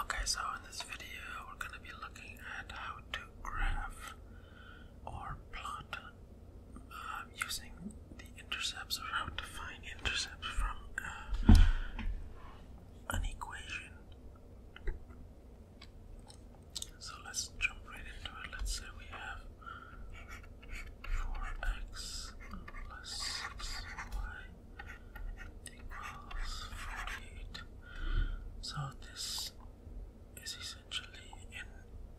Okay, so in this video, we're going to be looking at how to graph or plot um, using the intercepts or how to find intercepts from uh, an equation. So let's jump right into it. Let's say we have 4x plus 6y equals 48. So this is essentially in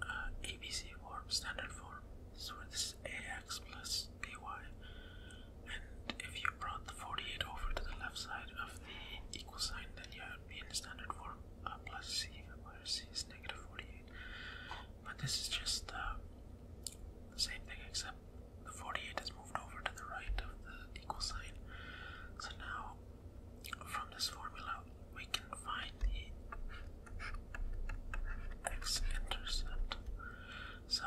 uh, ABC form, standard form. So this is ax plus by. And if you brought the 48 over to the left side of the equal sign, then you it would in standard form uh, plus C, minus C is negative 48. But this is just uh, the same thing except the 48 is moved over to the right of the equal sign. So now, from this formula, we can find the x-intercept. So,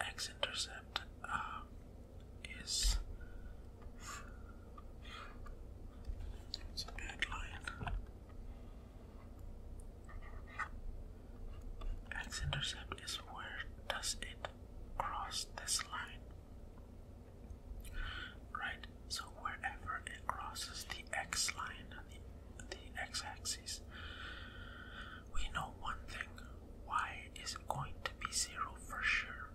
x-intercept uh, is it's a bad line. X intercept is where does it cross this line? Right, so wherever it crosses the X line and the, the X axis, we know one thing. Y is going to be zero for sure.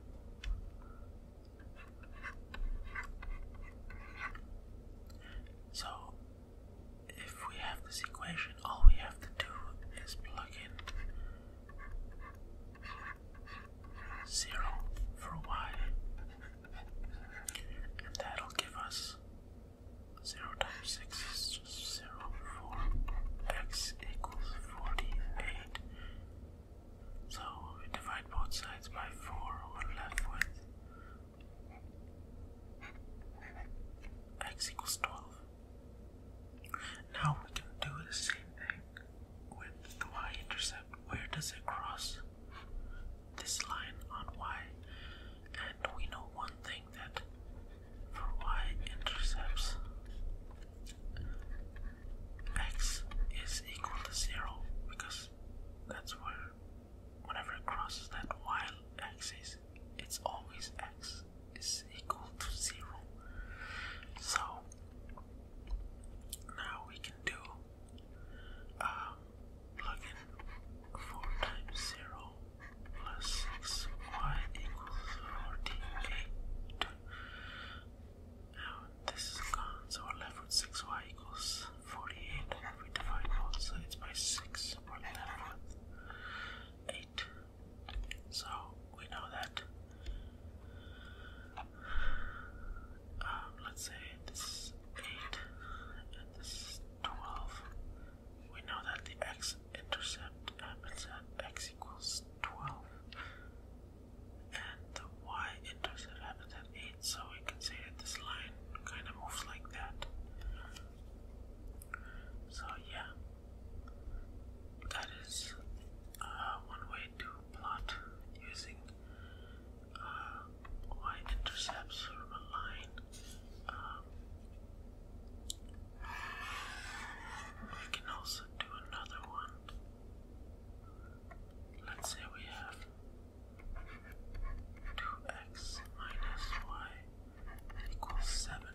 So, if we have this equation, all we have to do is plug in 0 for y, and that'll give us 0 times 6 is just 0, 4, x equals 48 so we divide both sides by 4, we're left with x equals 12. Now we can do the same thing with the y intercept. Where does it cross this line on y? And we know one thing that for y intercepts, x is equal to 0 because that's where whenever it crosses that y axis it's always x is equal to 0 so now we can do plug um, in 4 times 0 plus 6y equals 48 now this is gone, so we're left with 6y equals 48. And we divide both sides by 6, we're left with 8. So we know that, um, let's say this is 8 and this is 12. We know that the x intercept happens at x equals 12 and the y intercept happens at 8, so we can say that this line kind of moves like that. So, yeah, that is uh, one way to plot using uh, y intercepts from a line. Um, we can also do another one. Let's say we have 2x minus y equals 7. And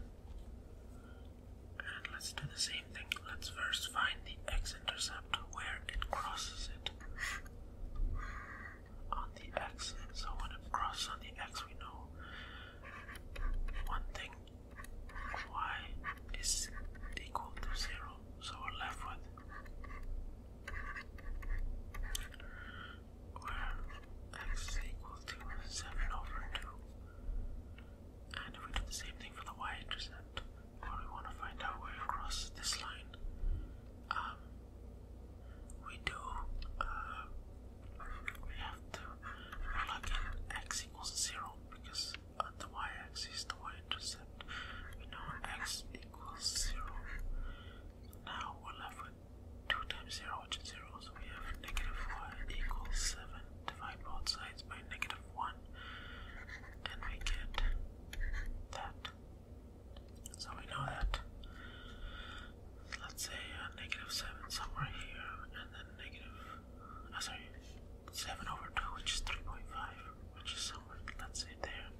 let's do the same thing. Let's first find the x-intercept where it crosses it on the x. So when it crosses on the x, we know one thing y is equal to 0. So we're left with where x is to 7 over 2. And if we do the same thing for the y intercept, where we want to find out where across this line, um, we do, uh, we have to plug in x equals 0 because on uh, the y-axis, the y-intercept, we know x equals 0. Now we're left with 2 times 0, which is 0, so we have negative y equals 7. Divide both sides by negative 1, and we get that. So we know that, let's say, uh, 7 somewhere here, and then negative, uh, sorry, 7 over 2, which is 3.5, which is somewhere, let's say, there.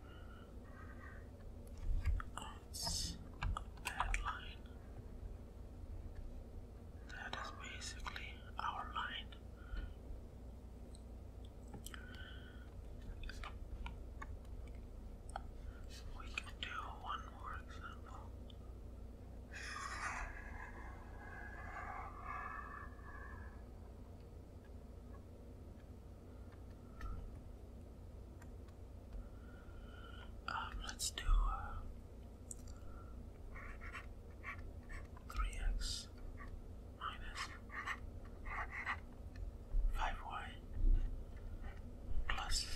That's a bad line. That is basically our line. We can do one more example. Um, let's do uh, three x minus five y plus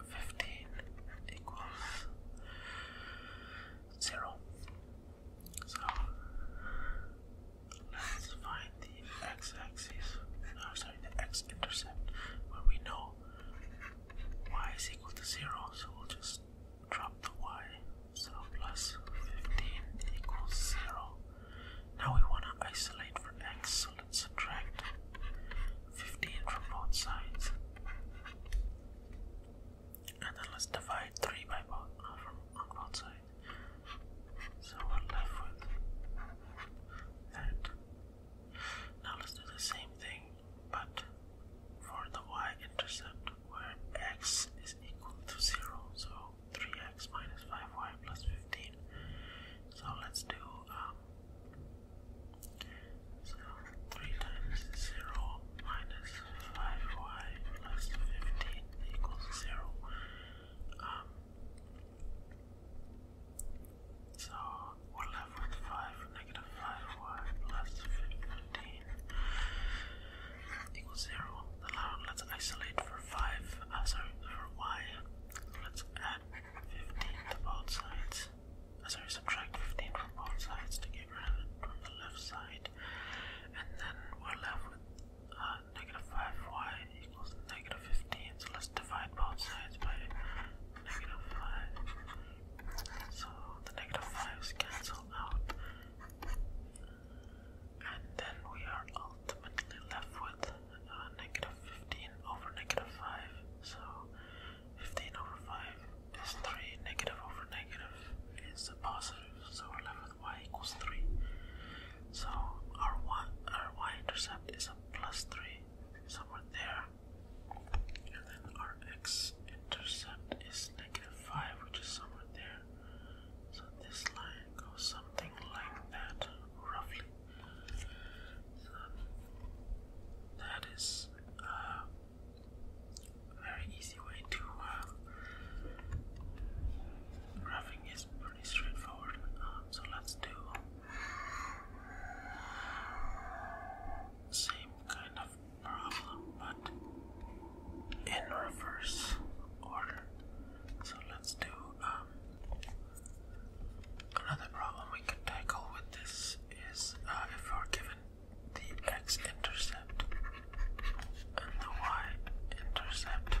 fifteen equals zero. So let's find the x-axis, or sorry, the x-intercept, where we know y is equal to zero. So we'll just drop the y. So plus 15 equals zero. Now we want to isolate for x, so let's subtract 15 from both sides. And then let's divide 3 by both, uh, on both sides. So we're left with that. Now let's do the same thing, but for the y-intercept where x is equal to 0. So 3x minus 5y plus 15. So let's do um, so 3 times 0 minus 5y plus 15 equals 0. so we're left with 5, negative 5y plus 15 equals 0. Now let's isolate for 5, uh, sorry, for y. Let's add 15 to both sides. Uh, sorry, subtract 15 from both sides to get rid of it from the left side. And then we're left with uh, negative 5y equals negative 15. So let's divide both sides by negative 5. So the negative five 5's cancel out. And then we are ultimately left with uh, 15 over negative 5. So 15 over 5 is 3. Negative over negative is a positive. So we're left y equals 3. So our y, intercept is a plus 3, somewhere there. And then our x intercept is negative 5, which is somewhere there. So this line goes something like that, roughly. So that is uh, very easy way to um, is pretty straightforward. Um, so let's do same kind of problem but in reverse order. So let's do um, another problem we can tackle with this is uh, if we're given the x-intercept and the y-intercept,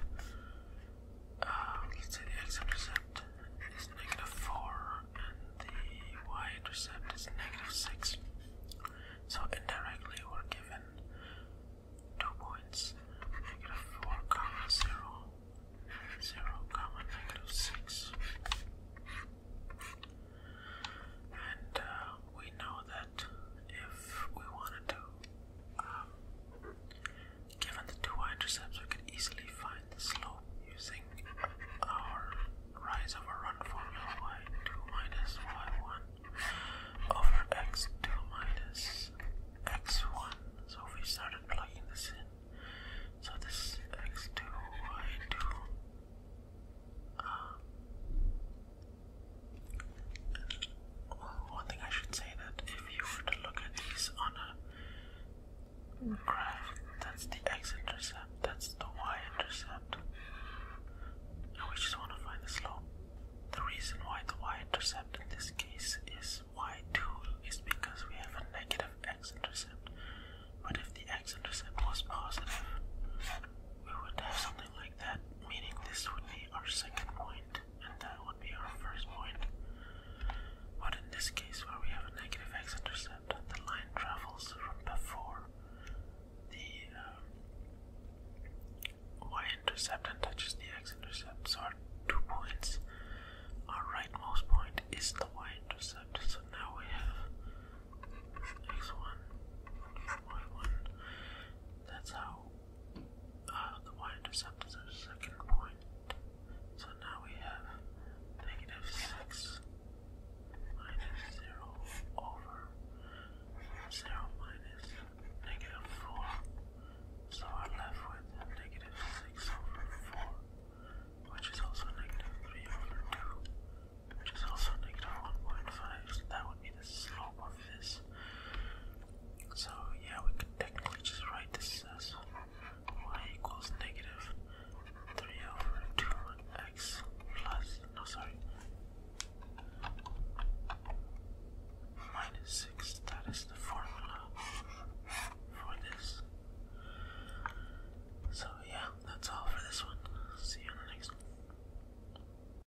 uh, let's say the x-intercept is negative 4 and the y-intercept is negative 6. So indirectly we're given two points, negative 4 comma 0, 0 comma negative 6. And uh, we know that if we wanted to, um, given the two intercepts, we could easily find the slope using our rise over run formula y2 minus y1 over x2 minus x1. So we started plugging this in. So this x2, y2 one thing I should say that if you were to look at these on a graph, that's the x-intercept, that's the y-intercept, and we just want to find the slope. The reason why the y-intercept in this case is y2 is because we have a negative x-intercept. But if the x-intercept was positive, we would have something like that, meaning this would be our second point, and that would be our first point. But in this case, where we have a negative x-intercept, the line travels from before the um, y-intercept and touches the x-intercept. So our two points, our rightmost point is the y-intercept. So now we have x1, y1. That's how uh, the y intercept is our second point. So now we have negative 6 minus 0 over 0 minus negative 4. So we're left with negative 6 over 4, which is also negative 3 over 2, which is also negative 1.5. So that would be the slope of this so yeah, we can technically just write this as y equals negative 3 over 2x plus, no sorry, minus 6. That is the formula for this. So yeah, that's all for this one. See you in the next one.